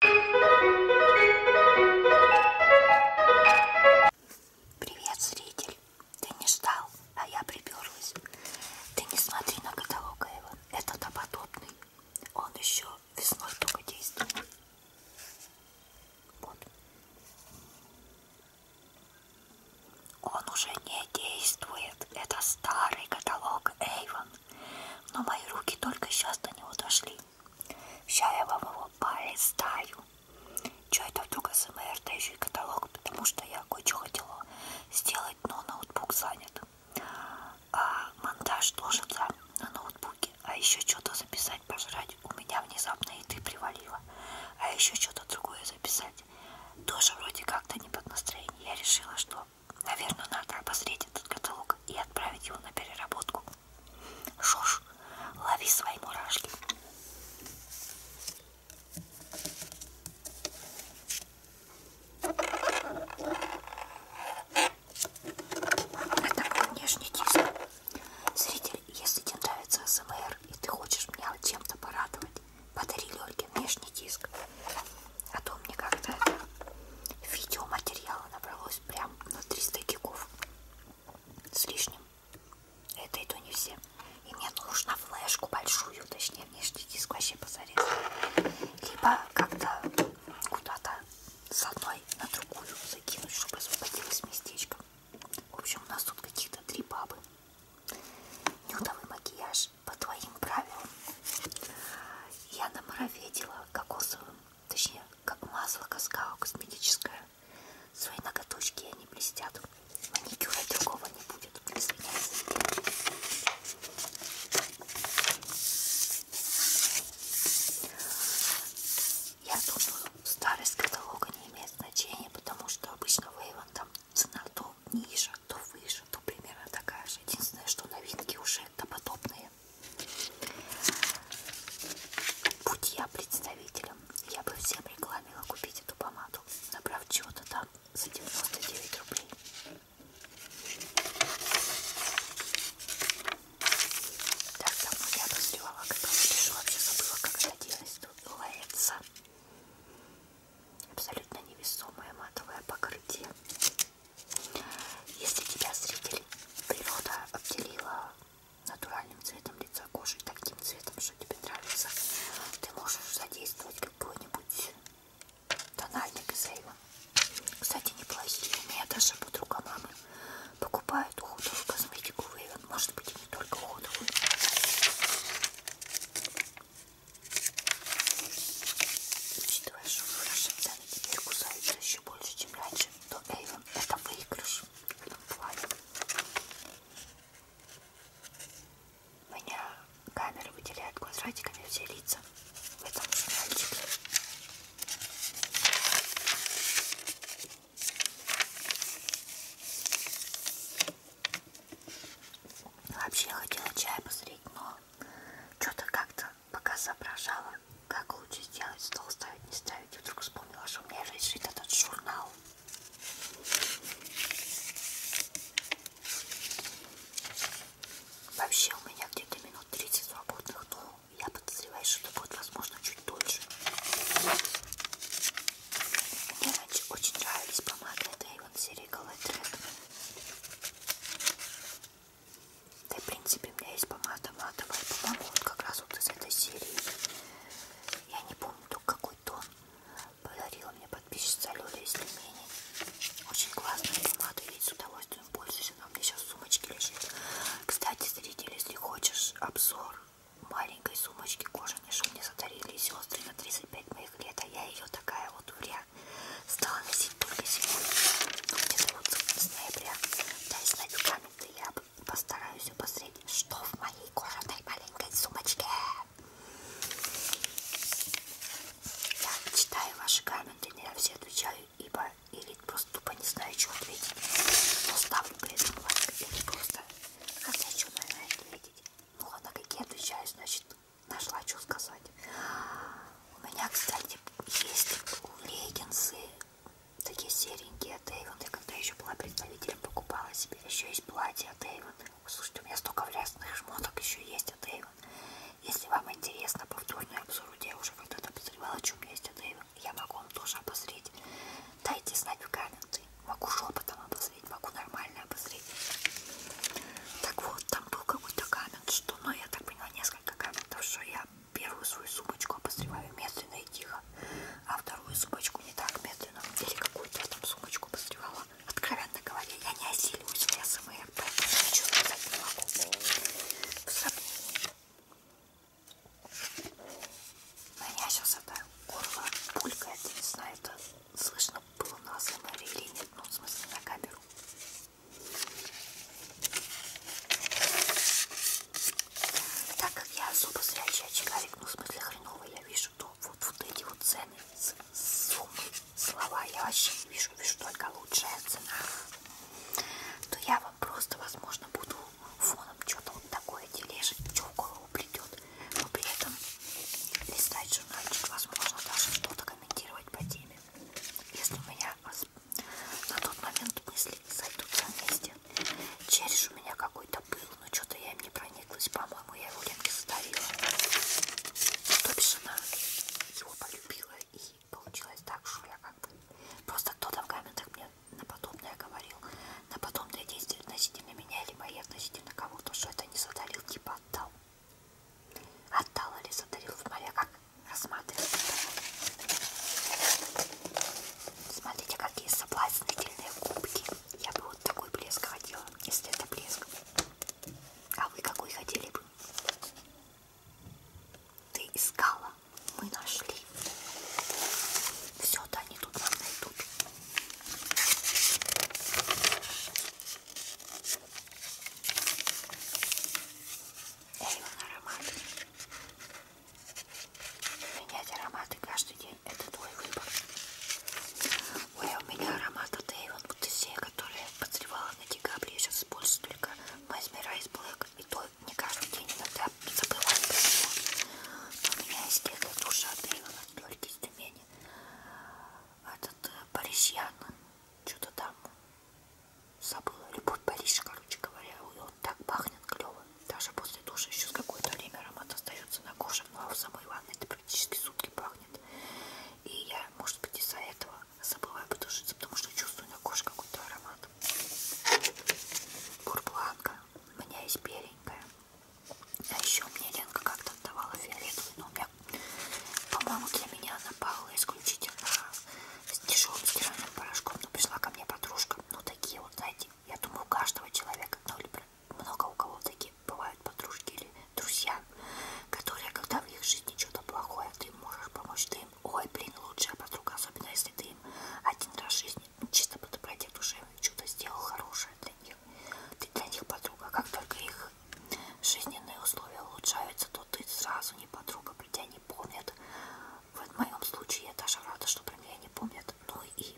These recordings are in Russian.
Привет, зритель. Ты не ждал, а я приперлась. Ты не смотри на каталог его. Это допотопный. Он еще весной только действует. Вот. Он уже не действует. Это старый каталог Эйвон. Но мои руки только сейчас до него дошли. Сейчас я вам его полистаю. Че это вдруг СМР, да еще и каталог, потому что я кое-что хотела сделать, но ноутбук занят. А монтаж ложится на ноутбуке. А еще что-то записать, пожрать. У меня внезапно еды привалило. А еще что-то другое записать. Тоже вроде как-то не под настроение. Я решила, что Наверное, надо обозреть этот каталог и отправить его на переработку. Шош, лови свои мурашки. Это мой внешний диск. Зритель, если тебе нравится СМР и ты хочешь меня чем-то порадовать, подари Лёльке внешний диск. А то мне как-то видеоматериала набралось оказалось прям на 300 гигов с лишним. Это и то не все. И мне нужно флешку большую, точнее внешний диск вообще позарез. Либо как-то куда-то с одной на другую закинуть, чтобы освободилось местечко. В общем, у нас тут какие-то три бабы. Нюдовый макияж по твоим правилам. Я намароведила кокосовым точнее, как масло какао косметическое. Свои ноготочки они блестят. Маникюра другого не будет. Извиняюсь. Я думаю, старость каталога не имеет значения, потому что обычно Вейвен там цена то ниже, то выше, то примерно такая же. Единственное, что новинки уже подобные далее. Будь я представителем, я бы всем рекламила купить эту помаду, набрав чего-то там за 99 рублей. Так давно я обозревала, когда напишу, вообще забыла, как это делать. Тут лается абсолютно невесомое матовое покрытие. Если тебя зритель природа обделила натуральным цветом лица кожи, таким цветом, что тебе нравится, ты можешь задействовать какой-нибудь тональник из Эйва. Кстати, неплохие. У меня даже подруга мамы покупает уходовую косметику в Эйвен. Может быть, и не только уходовую. Учитывая, что выражение цены теперь кусаются еще больше, чем раньше, то Эйвен это выигрыш в этом плане. У меня камеры выделяют квадратиками все лица в этом сериальчике. Вообще я хотела чай посмотреть, но что-то как-то пока соображала, как лучше сделать, стол ставить, не ставить, и вдруг вспомнила, что у меня лежит этот журнал. Вообще у меня где-то минут 30 свободных, но я подозреваю, что это будет, возможно, чуть дольше. Мне раньше очень нравились помады от Avon серии Color да и в принципе у меня есть помада матовая, по-моему, вот как раз вот из этой серии. Я не помню только какой тон подарила мне подписчица Лёля из Тюмени. Очень классная помада, я с удовольствием пользуюсь, она у меня сейчас в сумочке лежит. Кстати, зритель, если хочешь обзор маленькой сумочки кожаной, что мне содарили сестры на 35 моих лет, а я ее такая вот в реальности стала носить только зимой. Ну, где-то вот с ноября. Я с новиками-то я постараюсь обозреть, что в моей кожаной маленькой сумочке. Я читаю ваши комменты, не на все отвечаю, ибо или просто тупо не знаю, что ответить. Но ставлю при этом лайк или просто хотя что, наверное, ответить. Ну ладно, какие отвечаю, значит, нашла что сказать. У меня, кстати, есть леггинсы, такие серенькие от Avon. Я когда еще была представителем, покупала себе. Еще есть платье от Avon. Слушайте, у меня столько врязных шмоток еще есть от Avon. Если вам интересно повторный обзор, я уже когда-то обозревала, что у меня есть от Avon. Я могу вам тоже обозреть. Дайте знать в комменты. Могу шепотом обозреть, могу нормально обозреть. Так вот, там был какой-то коммент, что, ну, я так поняла, несколько несколько комментов, что я первую свою сумочку обозреваю медленно и тихо, а вторую сумочку не так медленно. Или какую-то я там сумочку обозревала. Откровенно говоря, я не осиливаюсь в СМР, поэтому ничего сказать не могу. В сомнении. На меня сейчас это горло пулькает, не знаю, это слышно было на СМР или нет, ну в смысле на камеру. Так как я особо зрячий очкарик, ну в смысле хреново я вижу, то вот, вот эти вот цены, суммы, слова я вообще не вижу, вижу только лучшая цена. То я вам просто, возможно, буду фоном что-то вот такое тележить, что в голову придет. Но при этом листать журнальчик, возможно, даже что-то комментировать по теме. Если у меня на тот момент мысли сойдутся вместе. Череш у меня какой-то был, но что-то я им не прониклась. По-моему, я его редко задавила. То бишь она его полюбила и получилось так, что я как бы... Просто кто-то в комментах мне на подобное говорил. На подобное действие относительно меня, либо я относительно кого-то, что это не задалил, типа отдал. Отдала ли, затарил в море, как рассматривал. Смотрите, какие соблазнительные кубки. Я бы вот такой блеск хотела, если это блеск. А вы какой хотели бы? Ты искала, мы нашли. Все-то они тут нам найдут. Эйвен ароматы. Менять ароматы каждый день. Это твой выбор. Ой, а у меня аромат от Эйвен Бутесея, который я подсревала на декабре. Я сейчас использую только Mesmerize Black. И то не каждый день иногда забываю про него. Но у меня есть эта душа от Эйвен, от Лёльки из Тюмени. Этот Парисьян. Э, Что-то там забыла, любовь Париж, короче говоря, и он так пахнет клево, даже после душа еще какое-то время аромат остается на коже, но ну, а в самой ванной это практически сутки пахнет, и я, может быть, из-за этого забываю потушиться, потому что чувствую на коже какой-то аромат. Бурбланка, у меня есть беленькая, а еще мне Ленка как-то отдавала фиолетовый, но у меня крем. По-моему, для меня она пахла исключительно с дешевым стиральным порошком. Но пришла ко мне подружка. Ну, такие вот, знаете, я думаю, у каждого человека, ну, или много у кого такие бывают подружки или друзья, которые, когда в их жизни что-то плохое, ты можешь помочь, ты им, ой, блин, лучшая подруга, особенно если ты им один раз в жизни, ну, чисто по доброте души, что-то сделал хорошее для них. Ты для них подруга, как только их жизненные условия улучшаются, то ты сразу не подруга, про тебя не помнят. В моем случае я даже рада, что про меня не помнят. Ну и,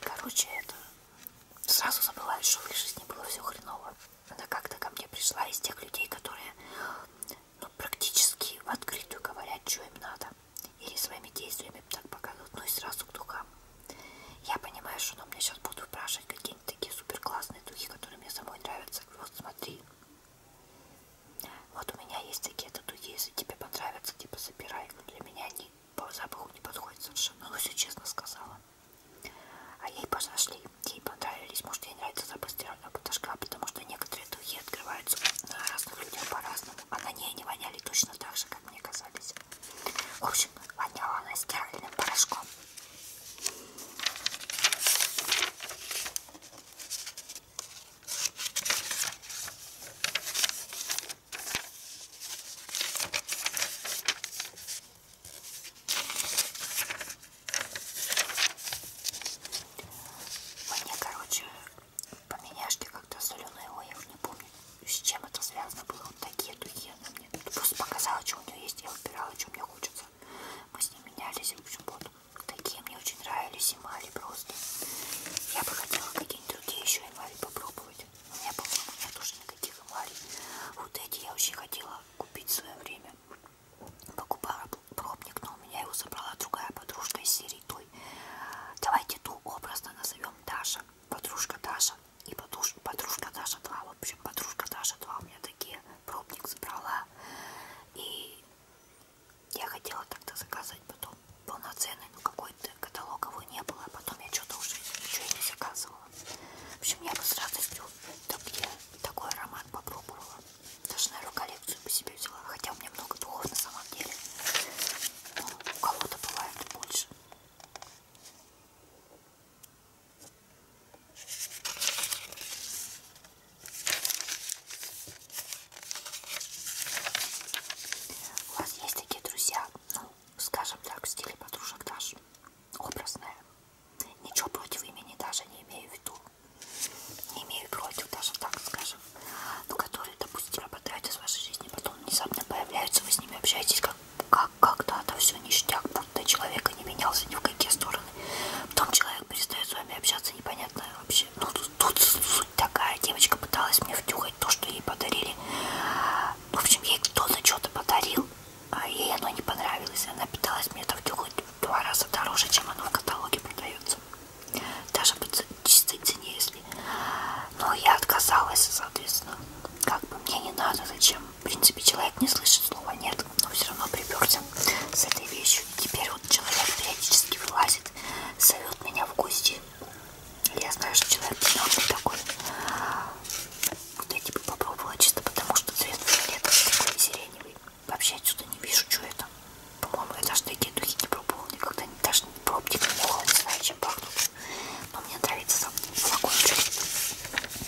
короче, это сразу забываю, что в их жизни было все хреново. Она как-то ко мне пришла из тех людей, которые ну, практически в открытую говорят, что им надо. Или своими действиями так показывают, ну и сразу к духам. Я понимаю, что она мне сейчас будут спрашивать, какие какие-нибудь такие супер классные духи, которые мне самой нравятся. Вот смотри. Вот у меня есть такие духи, если тебе понравятся, типа забирай. Но для меня они по запаху не подходят совершенно. Ну, все честно сказала. А ей пошли, ей понравились. Может, ей нравится запах стирального поташка, потому что некоторые духи открываются на разных людях по-разному. А на ней они воняли точно так же, как мне казались. В общем, воняла она стиральным порошком. Мне, короче, поменяшки как-то соленые, ой, я уже не помню, с чем это связано было, вот такие духи нет. Просто показала, что у нее есть, я выбирала, что мне хочется. Мы с ним менялись, в общем, вот. Такие мне очень нравились эмали просто. Я бы хотела какие-нибудь другие еще эмали попробовать. У меня, по-моему, нет уже никаких эмалей. Вот эти я очень хотела купить в свое время. Покупала пробник, но у меня его собрала другая подружка из серии той. Давайте ту образно назовем Даша. Подружка Даша и подружка, подружка Даша 2. В общем, подружка Даша 2 у меня такие пробник забрала. И я хотела тогда заказать потом полноценный, но ну, какой-то каталог его не было. А потом я что-то уже ничего и не заказывала. В общем, я бы с радостью так я такой аромат попробовала. Даже, наверное, коллекцию по себе взяла. Хотя у меня много духов на самом деле. Но ну, у кого-то бывает больше. У вас есть такие друзья, ну, скажем так, в стиле подружек даже образные. Ничего против имени даже не имею в виду. Не имею против, даже так скажем. Но которые, допустим, пропадают из вашей жизни, потом внезапно появляются, вы с ними общаетесь как как когда-то все ништяк, будто человека не менялся ни в какие стороны. Потом человек перестает с вами общаться, непонятно вообще. Ну, тут, тут суть такая. Девочка пыталась мне втюхать то, что ей подарили. В общем, ей кто-то что-то подарил, а ей оно не понравилось. Она пыталась мне это втюхать в два раза дороже, чем оно в каталоге продается. Даже по чистой цене, если... Но я отказалась, соответственно. Как бы мне не надо, зачем в принципе, человек не слышит слова «нет», но все равно приперся с этой вещью. И теперь вот человек периодически вылазит, зовет меня в гости. Я знаю, что человек не такой. Вот я типа попробовала чисто потому, что цвет фиолетовый такой сиреневый. Вообще отсюда не вижу, что это. По-моему, я даже такие духи не пробовала никогда. Даже пробник не пробовала, не знаю, чем пахнут. Но мне даже отправиться в флакончик.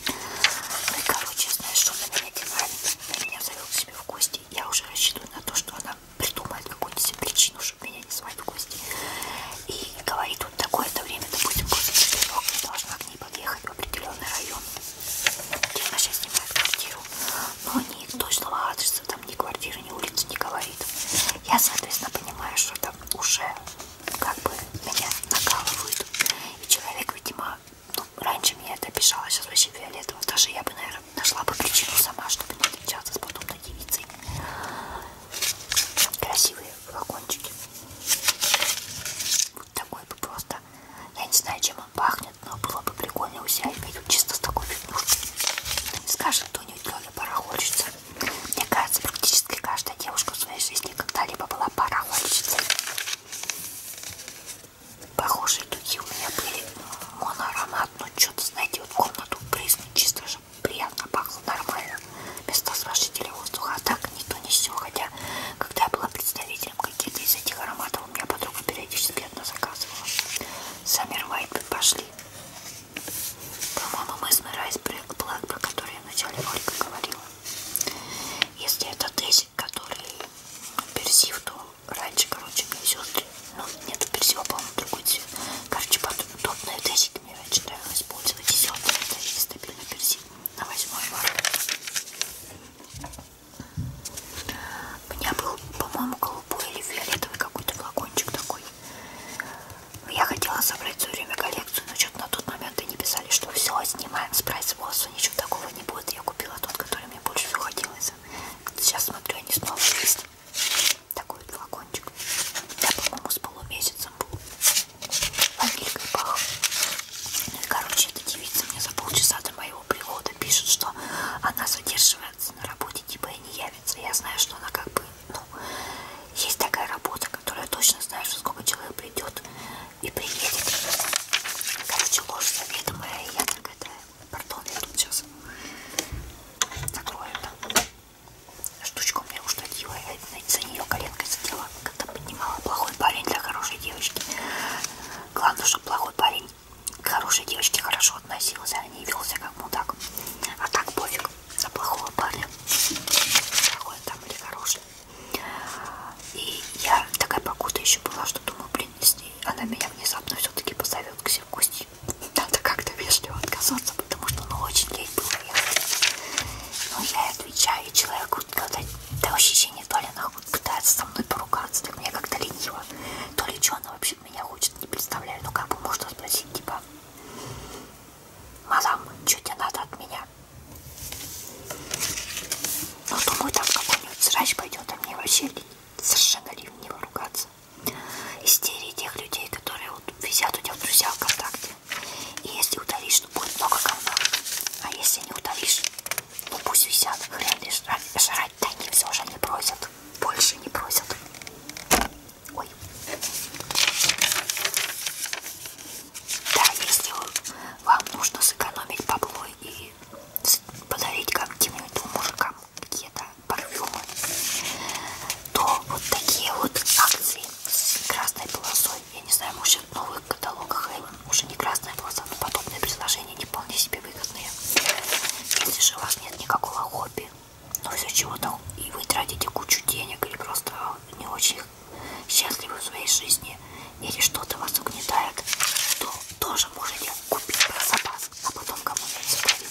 Ну и короче, знаешь, что на меня динамит, на меня зовет к себе в гости. Я уже рассчитываю на то, что она придумает какую-нибудь себе причину, чтобы меня не звать в гости. И говорит, вот такое-то время, допустим, после четырех я должна к ней подъехать в определенный район, где она сейчас снимает квартиру. Но ни точного адреса, там ни квартиры, ни улицы не говорит. Я, соответственно, понимаю, что там уже как бы меня накалывают. И человек, видимо, ну, раньше меня это обижало, сейчас вообще фиолетово. Даже я бы, наверное, нашла бы причину сама, чтобы не отличаться с подобной девицей. Красивые флакончики. Вот такой бы просто. Я не знаю, чем он пахнет, но было бы прикольно у себя иметь чисто с такой фигнюшкой. Не скажет кто-нибудь, Лёля, пора хочется. Мне кажется, практически Вряд ли каждая девушка в своей жизни когда-либо была парахольчицей. Похожие духи у меня были моноаромат, но ну, что-то, знаете, вот комнату брызну чисто же приятно пахло нормально, без разрушителя воздуха, а так никто не все, хотя когда я была представителем каких-то из этих ароматов, у меня подруга периодически одна заказывала. Саммер Вайт пошли. По-моему, мы с Мирайс Блэк, про который я в начале ролика говорила. Если это тезик, который персив, то раньше, короче, мне сестры, ну, нет, персива, по-моему, другой цвет. Короче, подобные тезики мне раньше нравилось пользовать. Десятый тезик стабильно персив на восьмой У меня был, по-моему, голубой или фиолетовый какой-то флакончик такой. Я хотела собрать все время коллекцию коллекцию, но что-то на тот момент и не писали, что все, снимаем с производства, ничего такого не будет. Я купила тот, который мне больше всего хотелось. Сейчас смотрю, они снова есть. Такой флакончик. Да, по-моему, с полумесяцем был. Ванилькой пах. Ну и, короче, эта девица мне за полчаса до моего прихода пишет, что она задерживается на работе, типа и не явится. Я знаю, что она как бы, ну, есть такая работа, которая точно знаешь, сколько человек придет и приедет. Короче, ложь заведомая, и я так это... Пардон, я тут сейчас закрою это. Штучка у меня уштатила, я за нее коленкой сидела, когда поднимала. Плохой парень для хорошей девочки. Главное, чтобы плохой парень к хорошей девочке хорошо относился, а не велся как мудак. А так пофиг за плохого парня. Какой там или хороший. И я такая покута еще была, что думаю, блин, если она меня внезапно все-таки позовет к себе в гости, надо как-то вежливо отказаться, потому что ну очень ей было Но я отвечаю, и человеку когда до ощущения то ли она пытается со мной поругаться, так мне как-то лениво, то ли что она вообще меня хочет, не представляю, ну как бы можно спросить, типа, мадам, что тебе надо от меня? Но ну, думаю, там какой-нибудь срач пойдет, а мне вообще совершенно ли в него ругаться. Истерии тех людей, которые вот висят у тебя в друзьях ВКонтакте. И если удалишь, то ну, будет много говна. А если не удалишь, ну пусть висят, хрен ли жрать, жрать да они все же не просят. Больше не просят. Ой. Да, если вам нужно сэкономить бабло и подарить как-нибудь мужикам какие-то парфюмы, то вот такие вот акции с красной полосой, я не знаю, может в новых каталогах Эйвен уже не красная полоса, но подобные предложения не вполне себе выгодные. Если же у вас нет никакого хобби, но все чего-то, и вы тратите кучу денег или просто не очень счастливы в своей жизни или что-то вас угнетает, то тоже можете купить про запас, а потом кому-нибудь подарить.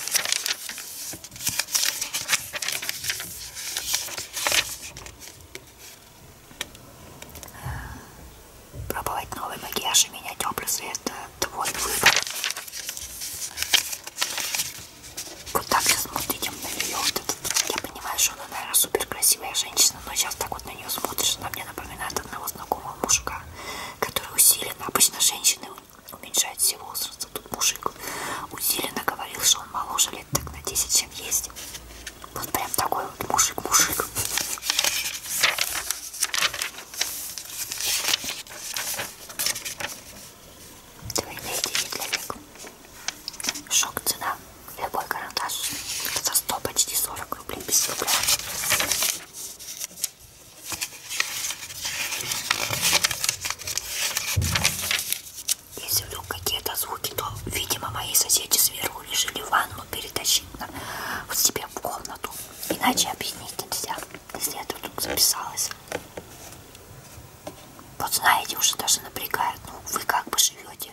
Пробовать новый макияж и менять образы это твой выбор. Вот так сейчас смотрите на нее, вот этот, я понимаю, что он она, наверное, супер красивая женщина, но сейчас так вот на нее смотришь, она мне напоминает одного знакомого мужика, который усиленно, обычно женщины уменьшают все возраста, тут мужик усиленно говорил, что он моложе лет так на 10, чем есть. Вот прям такой вот мужик-мужик. Двойные девять лет. Шок цена. Любой карандаш. За 100 почти 40 рублей без рубля. Если вдруг какие-то звуки, то, видимо, мои соседи сверху решили ванну перетащить на, вот себе в комнату. Иначе объяснить нельзя. Если я тут записалась вот знаете, уже даже напрягает, ну вы как бы живете,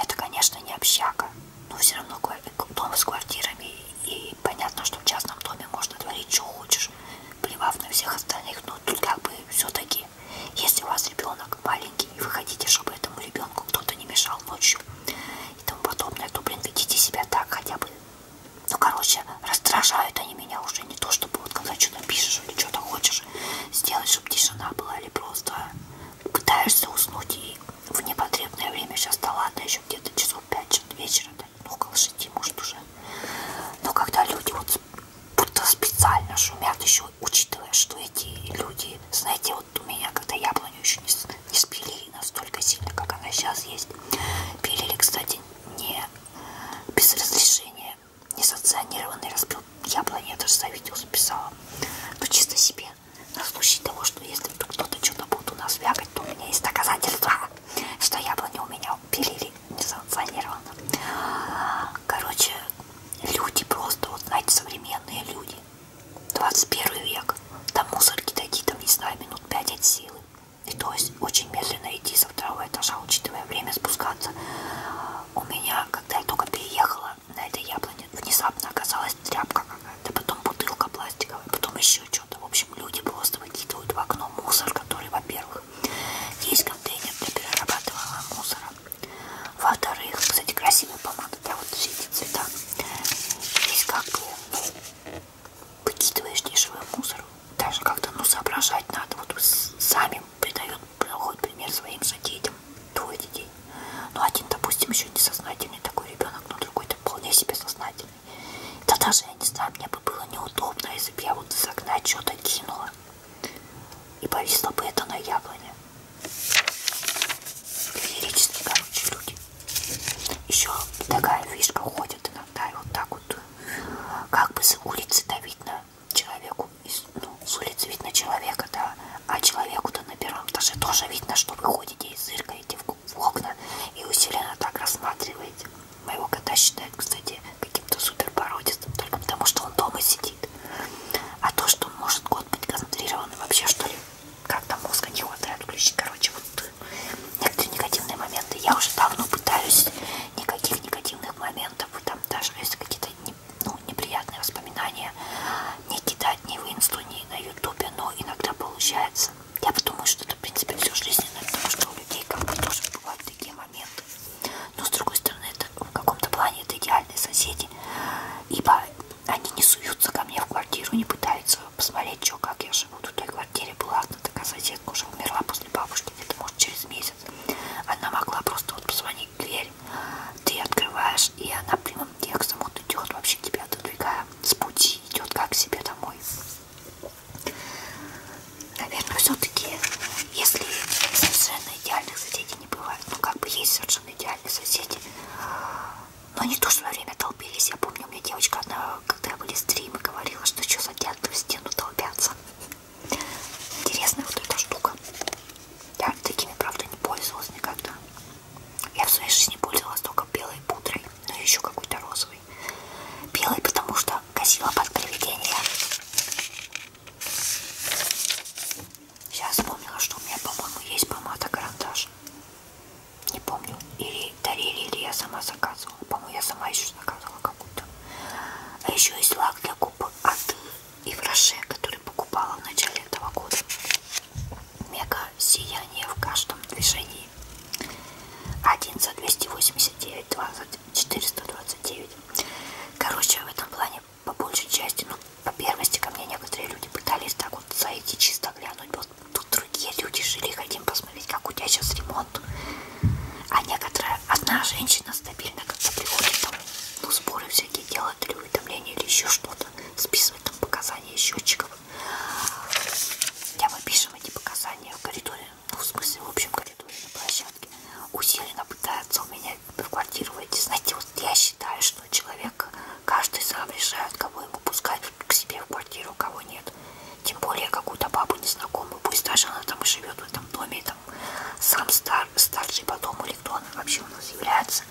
это, конечно, не общага, но все равно дом с квартирами, и понятно, что в частном доме можно творить, что хочешь, плевав на всех остальных, но тут как бы все-таки, если у вас ребенок маленький, и вы хотите, чтобы этому ребенку кто-то не мешал ночью и тому подобное, то, блин, ведите себя так хотя бы. Ну, короче, раздражают они меня уже, не то чтобы вот когда что-то пишешь или что-то хочешь, хочешь сделать, чтобы тишина была, или просто пытаешься уснуть и в непотребное время сейчас, да ладно, еще где-то часов 5 вечера, да, ну около 6, может уже. Но когда люди вот будто специально шумят еще, учитывая, что эти люди, знаете, вот у меня, когда яблоню еще не, не спилили настолько сильно, как она сейчас есть, пилили, кстати, не без разрешения несанкционированный разбил. Я планету за видео записала. Но ну, чисто себе. На случай того, что если вдруг кто-то что-то будет у нас вякать, то у меня есть доказательства, что яблоню у меня пилили несанкционированно. Короче, люди просто, вот знаете, современные люди. 21 век. Там мусорки дойти, там, не знаю, минут 5 от силы. И то есть очень медленно идти со второго этажа, учитывая время спускаться. У меня когда я только переехала на этой яблоне, внезапно оказалась тряпка какая-то, потом бутылка пластиковая, потом еще что-то. В общем, люди просто выкидывают в окно мусор, который, во-первых, есть контейнер для перерабатываемого мусора. Во-вторых, кстати, красивые помады, да, вот все эти цвета. Здесь как бы, ну, выкидываешь дешевый мусор, даже как-то, ну, соображать надо, вот сами придает плохой пример своим же детям, двое детей. Ну, один, допустим, еще несознательный такой ребенок, но другой-то вполне себе сознательный. Да даже, я не знаю, мне бы было неудобно, если бы я вот из окна что-то кинула. И повисло бы это на яблоне. Феерически, короче, люди. Еще такая фишка ходит иногда, и вот так вот. Э, как бы с улицы-то видно человеку из, ну, с улицы видно человека, да, а человеку-то на первом этаже тоже видно, что вы ходите и зыркаете в, в окна и усиленно так рассматриваете. Моего кота считают, кстати, каким-то супер породистым, только потому что он дома сидит. А то, что он может кот быть концентрирован вообще, что ли, как-то мозга не хватает включить. Короче, вот некоторые негативные моменты. Я уже давно пытаюсь никаких негативных моментов, там даже если какие-то ну, неприятные воспоминания не кидать ни в инсту, ни на ютубе, но иногда получается. Я думаю, что это, в принципе, все жизненно, потому что у людей как бы тоже бывают такие моменты. Но, с другой стороны, это в каком-то плане это идеальные соседи, ибо они не суются ко мне в квартиру, не пытаются посмотреть, что, как я живу. В той квартире была одна такая соседка, уже умерла после бабушки, где-то, может, через месяц. Она могла просто вот позвонить ней дверь, ты открываешь, и она прямым текстом вот идет вообще тебя отодвигая с пути, идет как к себе домой. Наверное, все-таки, если совершенно идеальных соседей не бывает, ну как бы есть совершенно идеальные соседи, но не то, что во время толпились. Я помню, у меня девочка, она, когда были стримы, говорила, что что за дятлы в стену толпятся. Интересная вот эта штука. Я такими, правда, не пользовалась никогда. Я в своей жизни пользовалась только белой пудрой, но еще какой-то розовой. Белой, потому что косила под привидение. Сейчас вспомнила, что у меня, по-моему, есть помада-карандаш. Не помню, или дарили, или я сама заказывала. По-моему, я сама еще заказывала какую-то. А еще есть лак для губ от и в Роше, который покупала в начале этого года. Мега сияние в каждом движении. 1 за 289, 2 за 429. Короче, в этом плане по большей части, ну, по первости ко мне некоторые люди пытались так вот зайти чисто глянуть. Вот тут другие люди жили, хотим посмотреть, как у тебя сейчас ремонт. А некоторая, одна женщина стабильно как-то приходит там, ну, сборы всякие делают, или уведомления, или еще что-то, списывает там показания счетчиков. Я мы пишем эти показания в коридоре, ну, в смысле, в общем коридоре на площадке. Усиленно пытается у меня в квартиру войти. Знаете, вот я считаю, что человек, каждый сам решает, кого ему пускать к себе в квартиру, а кого нет. Тем более какую-то бабу незнакомую, пусть даже она там и живет в этом доме, сам стар, старший потом или кто он вообще у нас является.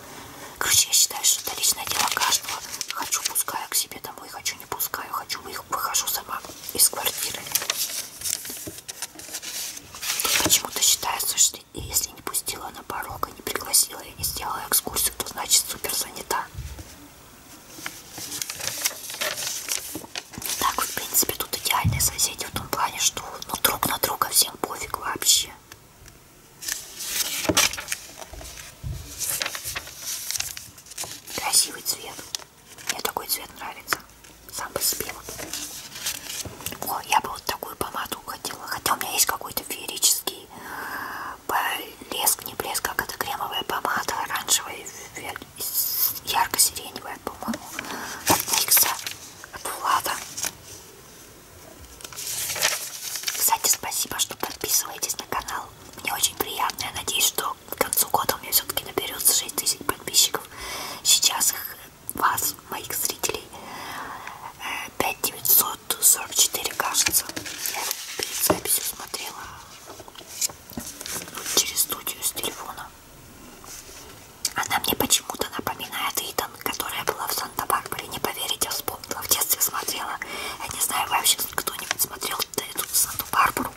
Короче, я считаю, что это личное дело каждого. Хочу, пускаю к себе домой, хочу, не пускаю, хочу, выхожу сама из квартиры. Почему-то считается, что если не пустила на порог, и не пригласила, и не сделала экскурсию, то значит супер занята. Так, вот, в принципе, тут идеальные соседи в том плане, что ну, друг на друга всем пофиг вообще. Красивый цвет. Мне такой цвет нравится. Сам по себе. О, я бы вот такую помаду хотела. Хотя у меня есть какой-то феерический э, блеск, не блеск, а как это кремовая помада, оранжевая ярко-сиреневая, по-моему, от Никса, от Влада. Кстати, спасибо, что подписываетесь на канал. Мне очень приятно. Я надеюсь, что к концу года у меня все-таки наберется 6000 подписчиков. Сейчас их вас, моих зрителей, 5944, кажется. Я перед записью смотрела через студию с телефона. Она мне почему-то напоминает Итан, которая была в Санта-Барбаре. Не поверите, вспомнила. В детстве смотрела. Я не знаю, вообще кто-нибудь смотрел эту Санту-Барбару.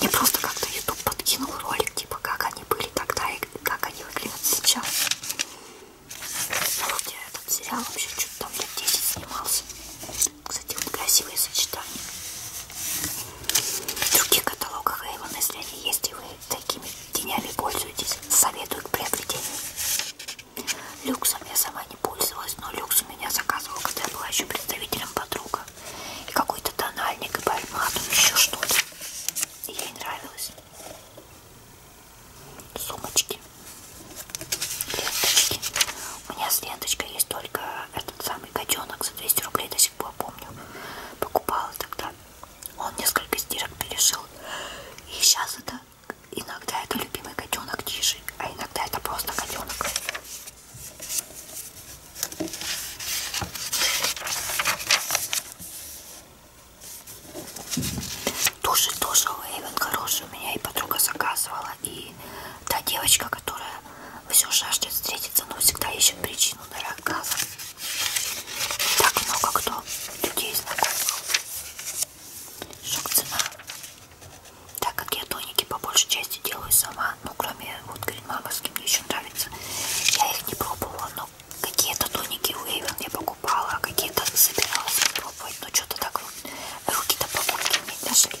Мне просто как-то YouTube подкинул ролик, типа, как они были тогда и как они выглядят сейчас. Вроде этот сериал вообще что-то там лет 10 снимался. Кстати, вот красивые сочетания. В других каталогах Avon, если они есть и вы такими тенями пользуетесь, советую к приобретению. Люксом я сама не пользовалась, но люкс у меня заказывал, когда я была еще представителем подруга. И какой-то тональник, и пальмату, еще что-то. Ей нравилось. Сумочки. Ленточки. У меня с ленточкой есть только этот самый котенок за 200 рублей до сих пор помню, покупала тогда. Он несколько стирок перешил. И сейчас это иногда это любимый котенок Тиши, а иногда это просто котенок. Тоже, тоже Лейвен хороший у меня и подруга заказывала. И та девочка, которая все жаждет встретиться, но всегда ищет причину для отказа. Так много кто людей знакомых. Шок цена. Так как я тоники по большей части делаю сама, ну кроме вот гринмамовских мне еще нравится, я их не пробовала, но какие-то тоники у Эйвен я покупала, а какие-то собиралась пробовать, но ну, что-то так руки до покупки не дошли.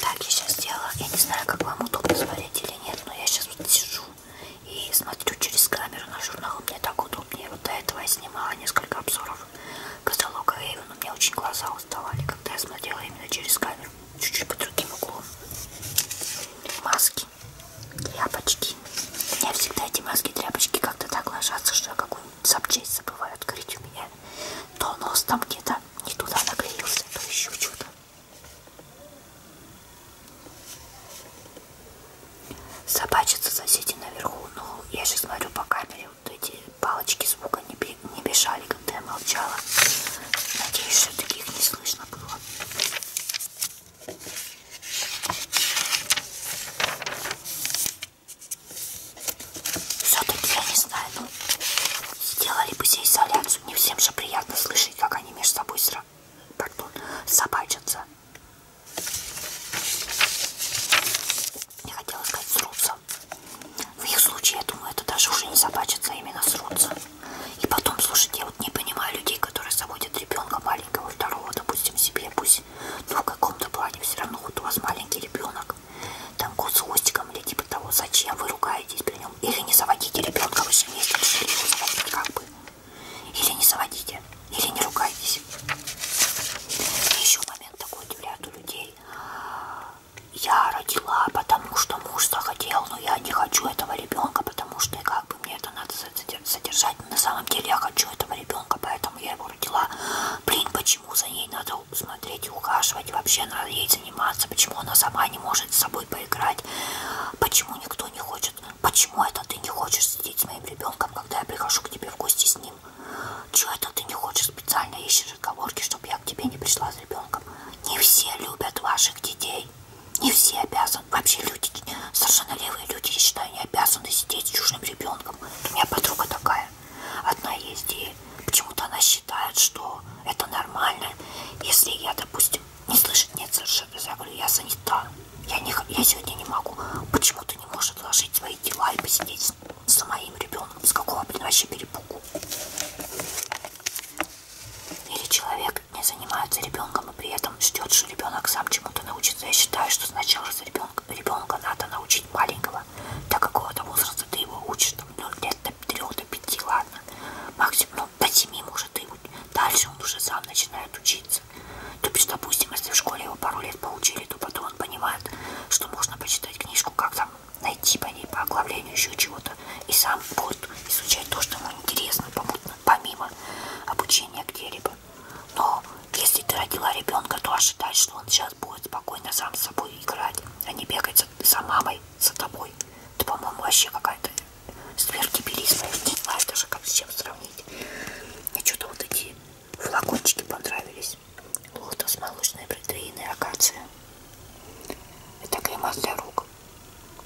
Так, я сейчас сделала. Я не знаю, как вам удобно смотреть или нет, но я сейчас вот сижу и смотрю через камеру на журнал. Мне так удобнее. Вот до этого я снимала несколько обзоров каталога Эйвен, но мне очень глаза уставали, когда я смотрела именно через камеру. Чуть-чуть по другим углом. Маски тряпочки. У меня всегда эти маски тряпочки как-то так ложатся, что я какую-нибудь запчасть забываю открыть у меня. То нос там где-то не туда наклеился, то еще что-то. Собачатся соседи наверху. Ну, я же смотрю по камере, вот эти палочки звука не, не бежали, когда я молчала. Надеюсь, что таких не слышно было. Все-таки я не знаю, ну сделали бы здесь изоляцию. Не всем же приятно слышать, как они между собой сра... Пардон, собачатся. Я хотела сказать срутся. В их случае, я думаю, это даже уже не собачится, а именно срутся. И потом, слушайте, я вот не понимаю людей, которые заводят ребенка маленького, второго, допустим, себе, пусть есть, но в каком-то плане все равно вот у вас маленький ребенок, там кот с хвостиком или типа того, зачем вы ругаетесь при нем? Или не заводите ребенка, вы же вместе решили его заводить как бы. Или не заводите, или не ругайтесь. И еще момент такой удивляет у людей. Я родила, потому что муж захотел, но я не хочу этого ребенка, потому что как бы бы мне это надо содержать. Но на самом деле я хочу этого ребенка, поэтому я его родила. Блин, почему за ней надо смотреть и ухаживать? Вообще надо ей заниматься. Почему она сама не может с собой поиграть? Почему никто не хочет? Почему это ты не хочешь сидеть с моим ребенком, когда я прихожу к тебе в гости с ним? Чего это ты не хочешь специально ищешь отговорки, чтобы я к тебе не пришла с ребенком? Не все любят ваших детей. Не все обязаны обязан. Вообще люди, совершенно левые люди, я считаю, не обязаны сидеть с чужим ребенком. У меня подруга такая. Одна есть, и почему-то она считает, что это нормально, если я, допустим, не слышит, нет совершенно. Я говорю, я занята. Я, не, я сегодня не могу. Почему ты не можешь отложить свои дела и посидеть с, с моим ребенком? С какого, блин, вообще перепугу? Или человек не занимается ребенком но при этом ждет, что ребенок сам чему-то научится. Я считаю, что сначала за ребенка, ребенка надо научить маленького, до какого-то возраста ты его учишь, там, ну, лет до 3 до 5, ладно, максимум, ну, до 7 может и дальше он уже сам начинает учиться. То есть, допустим, если в школе его пару лет поучили, то потом он понимает, что можно почитать книжку, как там найти по ней, по оглавлению еще чего-то, и сам будет изучать то, что ему интересно, помимо обучения где-либо. Но если ты родила ребенка, то ожидай, что он сейчас будет спокойно сам с собой играть, а не бегать за, за мамой, за тобой. Ты, по-моему, вообще какая-то сверхгиберизма. Не знаю даже, как с чем сравнить. Мне что-то вот эти флакончики понравились. Лотос, молочные протеины, акация. Это крема для рук.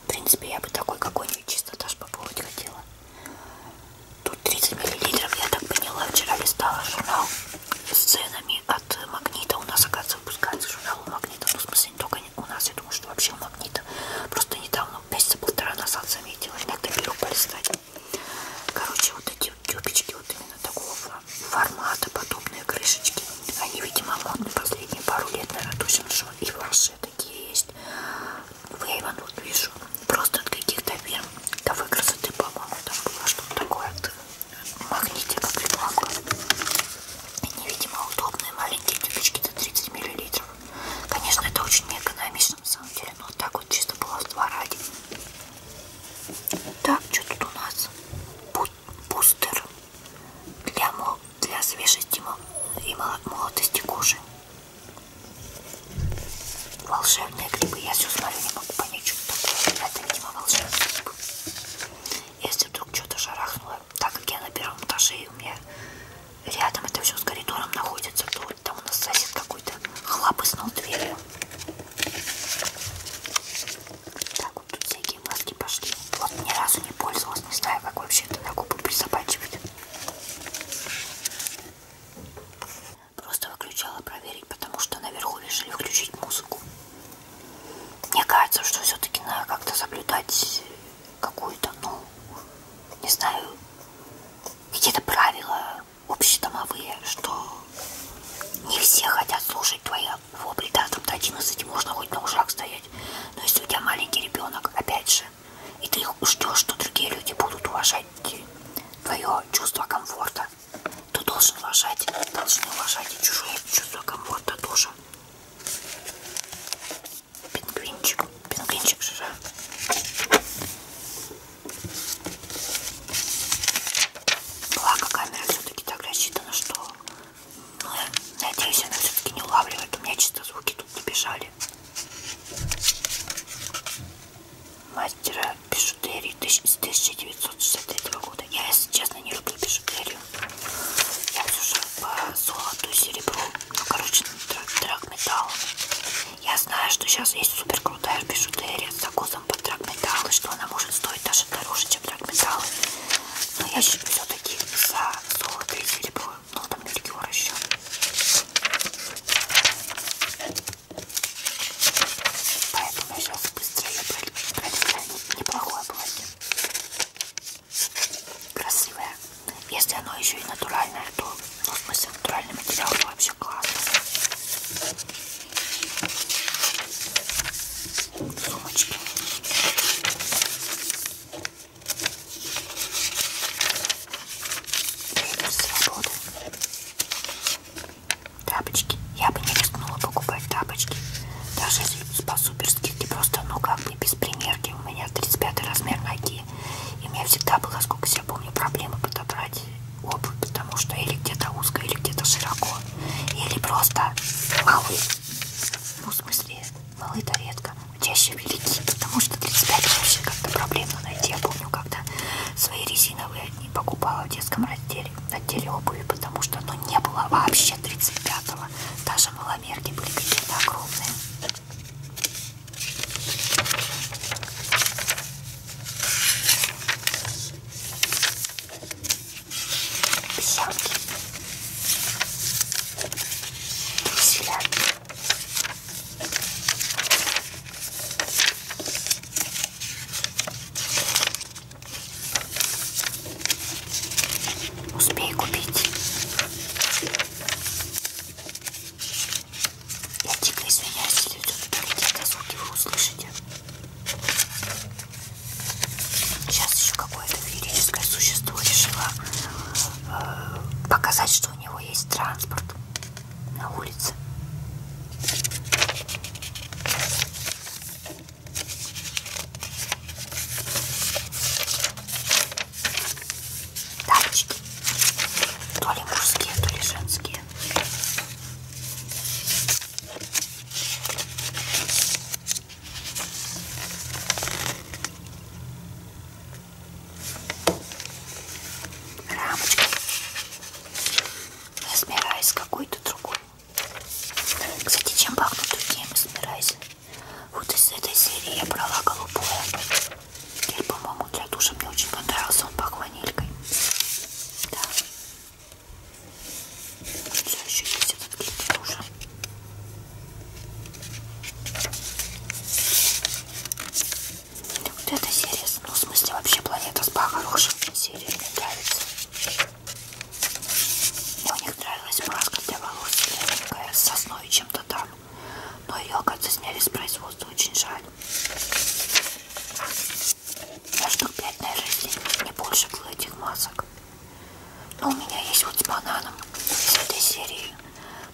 В принципе, я бы такой какой-нибудь чисто даже попробовать хотела. Тут 30 миллилитров, я так поняла, вчера листала журнал с ценами от Магнита. У нас, оказывается, выпускается журнал у Магнита. Ну, в смысле, не только у нас, я думаю, что вообще у Магнита. Просто недавно, месяца полтора назад заметила, иногда беру полистать. Короче, вот эти тюбички вот именно такого формата, подобные крышечки. Они, видимо, модны последние пару лет, наверное, точно, что и ваш хорошие такие есть. Вейван, вот вижу, просто от каких-то фирм. Да вы красоты, по-моему, там было что-то такое. Магнитика прикладка. И невидимо удобные маленькие тюбички до 30 мл. Конечно, это очень не экономично на самом деле, но вот так вот чисто было в два ради. Так, что тут у нас? Бустер для, для свежести и молодости кожи. Волшебные грибы. Я все смотрю, не могу понять, что такое. Это, видимо, волшебные грибы. Если вдруг что-то шарахнуло, так как я на первом этаже, и у меня рядом это все с коридором находится, то вот там у нас сосед какой-то хлапыснул дверью. Так, вот тут всякие маски пошли. Вот ни разу не пользовалась, не знаю, как вообще это на губы присобачивать. Просто выключала проверить, потому что наверху решили включить музыку. Мне кажется, что все-таки надо как-то соблюдать какую-то, ну, не знаю, какие-то правила общедомовые, что не все хотят слушать твоего бреда, там до 11 можно хоть на ушах стоять. Но если у тебя маленький ребенок, опять же, и ты ждешь, что другие люди будут уважать твое чувство комфорта. Ты должен уважать, должны уважать и чужое чувство комфорта тоже. Пингвинчик, пингвинчик же. Благо камера все-таки так рассчитана, что... Ну, я надеюсь, она все-таки не улавливает. У меня чисто звуки тут не бежали мастера бижутерии с 1963 года. Я, если честно, не люблю бижутерию. Я уже по золоту, серебру, ну, короче, драгметалл. Я знаю, что сейчас есть супер крутая бижутерия с закусом под драгметалл, и что она может стоить даже дороже, чем драгметалл. Но я все-таки за золото и серебро. Ну, там мельхиор еще. Поэтому я сейчас быстро ее проделаю. Неплохое платье. Красивое. Если оно еще и натуральное, то ну, в смысле натуральный материал то вообще классно. Сумочки свобода. Тапочки. Я бы не рискнула покупать тапочки. Даже если по-суперски, ты просто, ну как бы, без примерки. У меня 35 размер ноги. И у меня всегда было, сколько я помню, проблемы подобрать обувь, потому что или где-то узко, или где-то широко. Или просто малы. Ну, в смысле, Лолы-то редко, чаще велики, потому что 35 вообще как-то проблемно найти. Я помню, когда свои резиновые одни покупала в детском отделе, отделе обуви, потому что ну, не было вообще 35-го. Даже маломерки были какие-то огромные. Писянки. Друзья. Успей купить. Я дико извиняюсь, люди, которые какие-то звуки вы услышите. Сейчас еще какое-то феерическое существо решило э, показать, что что у него есть транспорт на улице. Тапочки. То ли мужские, то ли женские. Рамочка Эсмерайз какой-то другой. Кстати, чем пахнут другие эсмерайзы? Вот из этой серии я брала голубое. Гель, по-моему, для душа мне очень понравился. Он пах ванилькой. Да. Все еще есть этот гель для душа. Вот эта серия, ну в смысле вообще планета спа хорошая серия, мне нравится. Мне у них нравилась маска для волос, легкая, с сосной чем-то там. Но ее, оказывается, сняли с производства, очень жаль. Я штук 5, наверное, если не больше было этих масок. Но у меня есть вот с бананом из этой серии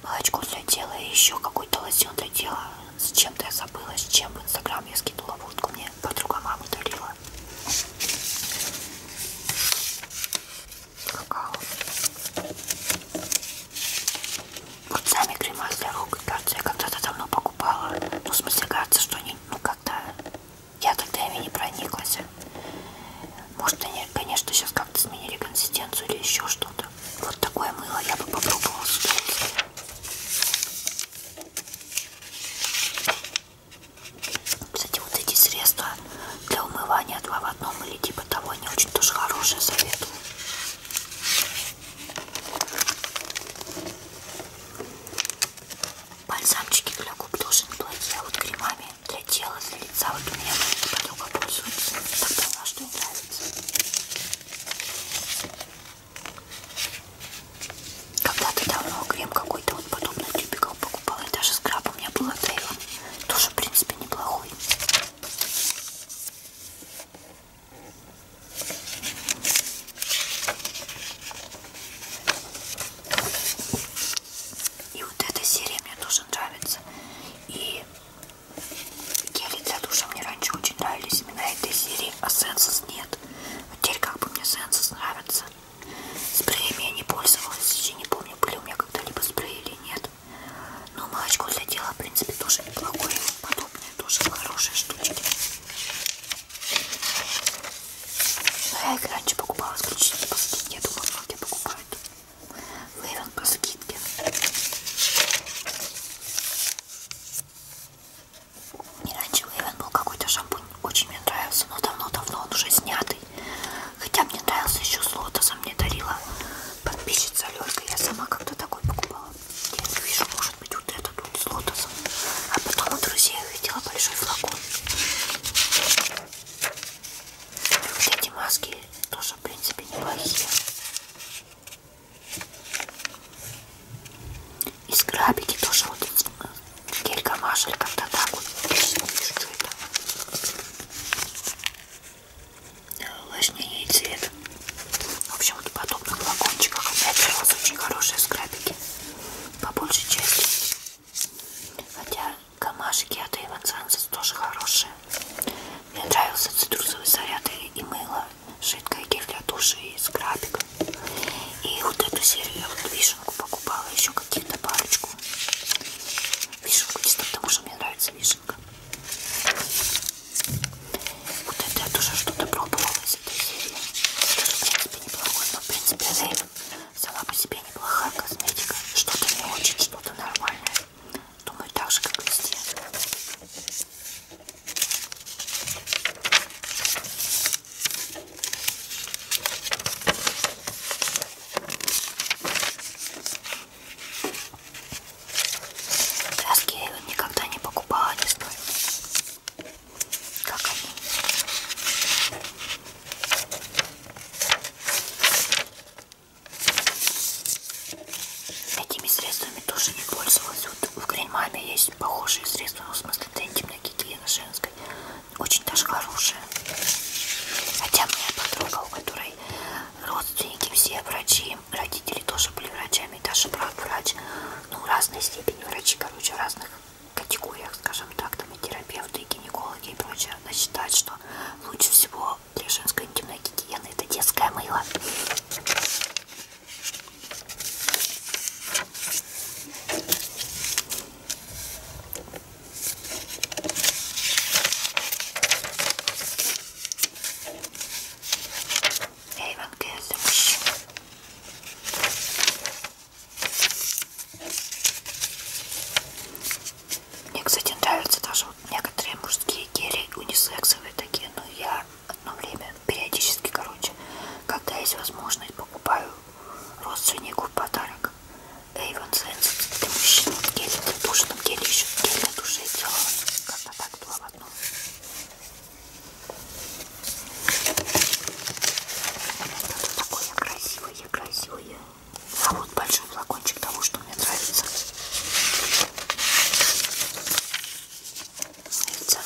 молочко для тела и еще какой-то лосьон для тела. С чем-то я забыла, с чем в инстаграм я скинула водку, мне подруга мама дарила. Какао. Вот сами крема для рук и перца я когда-то давно покупала. Ну, в смысле, кажется, что они, ну, когда я тогда ими не прониклась. Может они, конечно, сейчас как-то сменили консистенцию или еще что-то. Вот такое мыло я бы попробовала сюда. Кстати, вот эти средства для умывания два в одном или типа того, они очень тоже хорошие, советую. Бальзамчики для губ тоже неплохие, а вот кремами кремами для тела, для лица. Вот у меня моя подруга пользуется. Так поняла, что ей нравится. Когда-то давно крем какой-то вот подобный тюбиков покупала. И даже скраб у меня был от Эйва. Тоже, в принципе, неплохой. И вот эта серия мне тоже нравится. И Гели для душа мне раньше очень нравились. Именно этой серии, а сенсус нет. Вот теперь как бы мне сенсус нравится. Спреями я не пользовалась. Я не помню, были у меня когда-либо спреи или нет. Но молочко для тела, в принципе, тоже неплохое. Подобное тоже хорошие штучки. Но ну, я их раньше покупала исключительно по скидке. Я думаю, многие покупают. Левел по скидке. Не раньше Левен был какой-то шампунь. Очень мне нравился, но давно-давно он уже снятый. Хотя мне нравился еще с лотосом мне дарила подписчица Лёлька. Я сама как-то такой покупала. Я вижу, может быть, вот этот вот с лотосом. А потом у друзей увидела большой флакон. Вот эти маски тоже, в принципе, неплохие. И скрабики тоже вот гелька машель как-то так вот. Что это? Увлажнение и цвет. В общем, вот в подобных флакончиках опять у вас очень хорошие скрабики. По большей части. Хотя Камашики а от Иван Сансес тоже хорошие. Мне нравился цитрусовый заряд и мыло. Жидкое гель для души из крабик. И вот эту серию я вот вишенку покупала, еще какие-то парочку. Вишенку чисто потому, что мне нравится вишенка. Вот это я тоже что-то пробовала из этой серии. Тоже, в принципе, неплохой, но, в принципе, Рейвен сама по себе неплохая косметика. Что-то не очень, что-то нормальное. Думаю, так же, как везде. Краски я никогда не покупала, не знаю, как они. Этими средствами тоже не пользовалась. Вот в Гринмаме есть похожие средства, но ну, в смысле это интимная гигиена женская. Очень даже хорошая. Хотя моя подруга, у которой родственники все врачи, родители тоже были врачами, даже брат врач, ну разной степени врачи, короче, в разных категориях, скажем так, там и терапевты, и гинекологи и прочее, она считает, что лучше всего что для женской интимной гигиены это детское мыло. Эйвен Гель для мужчин. Мне, кстати, нравятся даже вот некоторые мужские гели, унисексовые такие, но я одно время, периодически, короче, когда есть возможность, покупаю родственнику в подарок Avon Sense для мужчин, вот гель для души, там гель еще, гель для души сделала, как-то так было в одном. Такое красивое, красивое. А вот большой флакончик того, что мне нравится. Видите?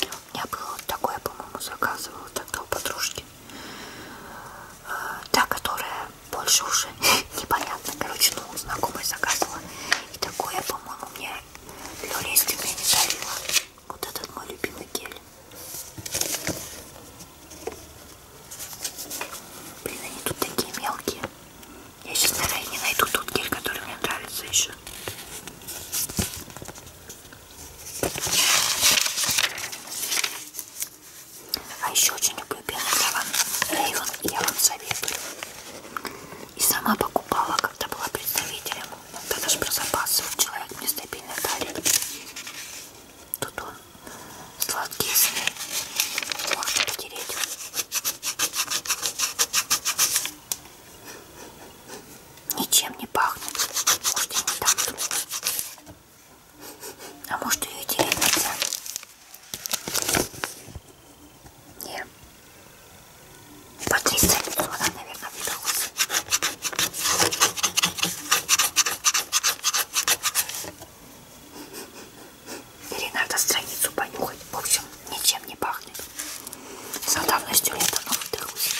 У меня было вот такое, по-моему, заказывала тогда у подружки. Э, та, которая больше уже непонятно. Короче, ну, знакомая заказывала. И такое, по-моему, мне Лёля из Тюмени дарила. Вот этот мой любимый гель. Блин, они тут такие мелкие. Я сейчас, наверное, не найду тот гель, который мне нравится еще. А еще очень люблю Бенедаван Рейвен, я вам советую. И сама покупала, когда была представителем. Тогда даже про запасы человек мне стабильно дарит. Тут он сладкие сны. Можно потереть. Ничем не пахнет. Может, и не так. А может, ее терять нельзя? Не. По 300 лицо она, наверное, выдалась. Или надо страницу понюхать. В общем, ничем не пахнет. За давностью лет оно выдохлось.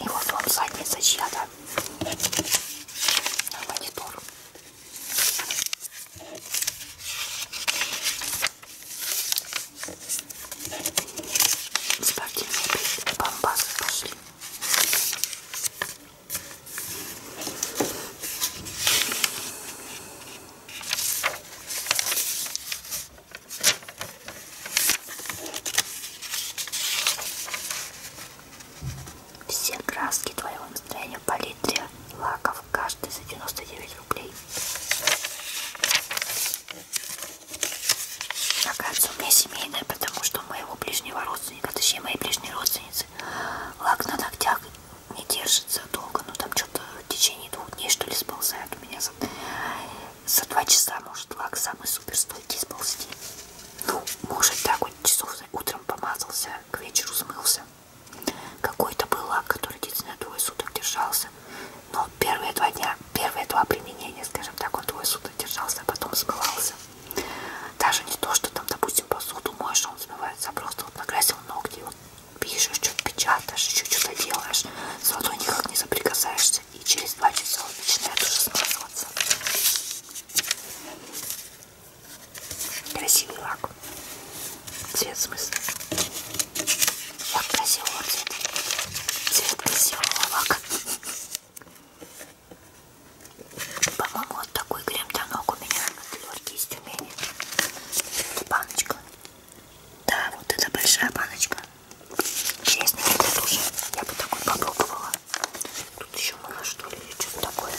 И вот он задница чья-то. На монитор. Спортивные бомбасы пошли. Все краски твоего настроения по литре лаков каждый за 99 рублей. Оказывается, у меня семейная, потому что у моего ближнего родственника, точнее моей ближней родственницы, лак на ногтях не держится долго, ну там что-то в течение двух дней что ли сползает у меня за, за два часа, может, лак самый супер стойкий сползти. Ну, может так вот часов утром помазался, к вечеру смылся. Какой-то был лак, который действительно двое суток держался. Но первые два дня первые два применения, скажем так, он твой суд держался, а потом смывался. Даже не то, что там, допустим, посуду моешь, он смывается, а просто вот накрасил ногти, вот пишешь, что-то печатаешь, еще что-то делаешь, с водой никак не соприкасаешься, и через два часа он начинает уже смазываться. Красивый лак. Цвет смысл. Лак красивого цвета. Цвет красивого лака. По-моему, вот такой крем для ног у меня от Лёрки из Тюмени. Это баночка. Да, вот это большая баночка. Честно, это тоже. Я бы такой попробовала. Тут еще мыло, что ли, или что-то такое.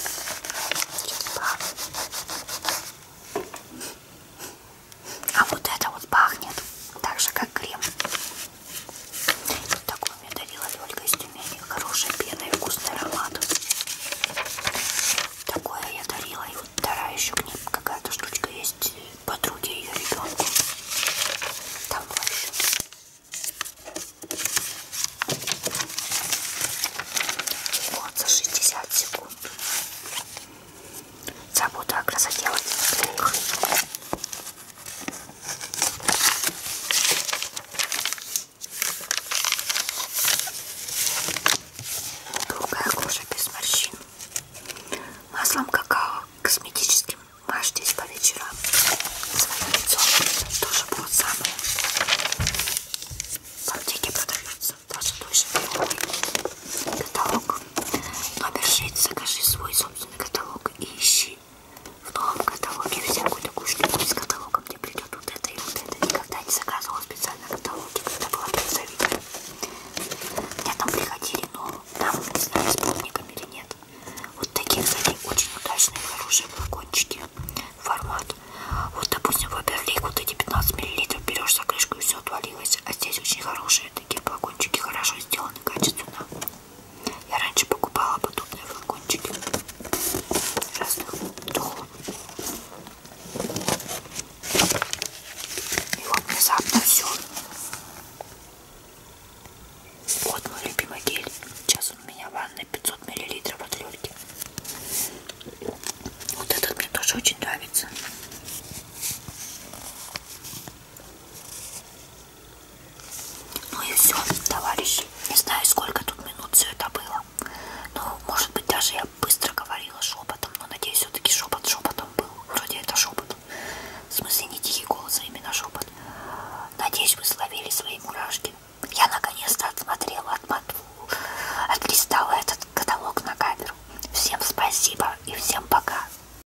Сейчас правда. А вот это вот пахнет так же, как крем. Вот такой мне дарила Лёлька из Тюмени. Хорошая пена и вкусный аромат. Такое я дарила. И вот вторая еще к ней какая-то штучка есть. Подруге ее ребенку. Там была еще. Вот за 60 секунд. Забота о красоте в одних Другая кожа без морщин. Маслом какао косметическим мажьтесь по вечерам. Свое лицо тоже будет самое. В аптеке продаются даже души. Каталог Номер 6. Закажи свой собственный каталог и ищи в новом каталоге всякую такую штуку из каталога, где придет вот это и вот это. Никогда не заказывала специально каталоги, когда была призовика. Мне там приходили, но там, не знаю, с полниками или нет. Вот такие, кстати, очень удачные, хорошие флакончики. Формат. Вот, допустим, Ваберлик, вот эти 15 мл берешь за крышку и все отвалилось. А здесь очень хорошие такие флакончики, хорошо сделаны, качественно. Я раньше покупала подобные флакончики разных духов. И вот внезапно все. Вот мой любимый гель. Сейчас он у меня в ванной 500 миллилитров от Лёльки. Вот этот мне тоже очень нравится. Ну и все, товарищи. Не знаю, сколько тут минут все это было. Ну, может быть, даже я быстро говорила шепотом, но надеюсь, все-таки шепот шепотом был. Вроде это шепот. В смысле, не тихий голос, а именно шепот. Надеюсь, вы словили свои мурашки. Я наконец-то отсмотрела, отмоту, отлистала этот каталог на камеру. Всем спасибо и всем пока.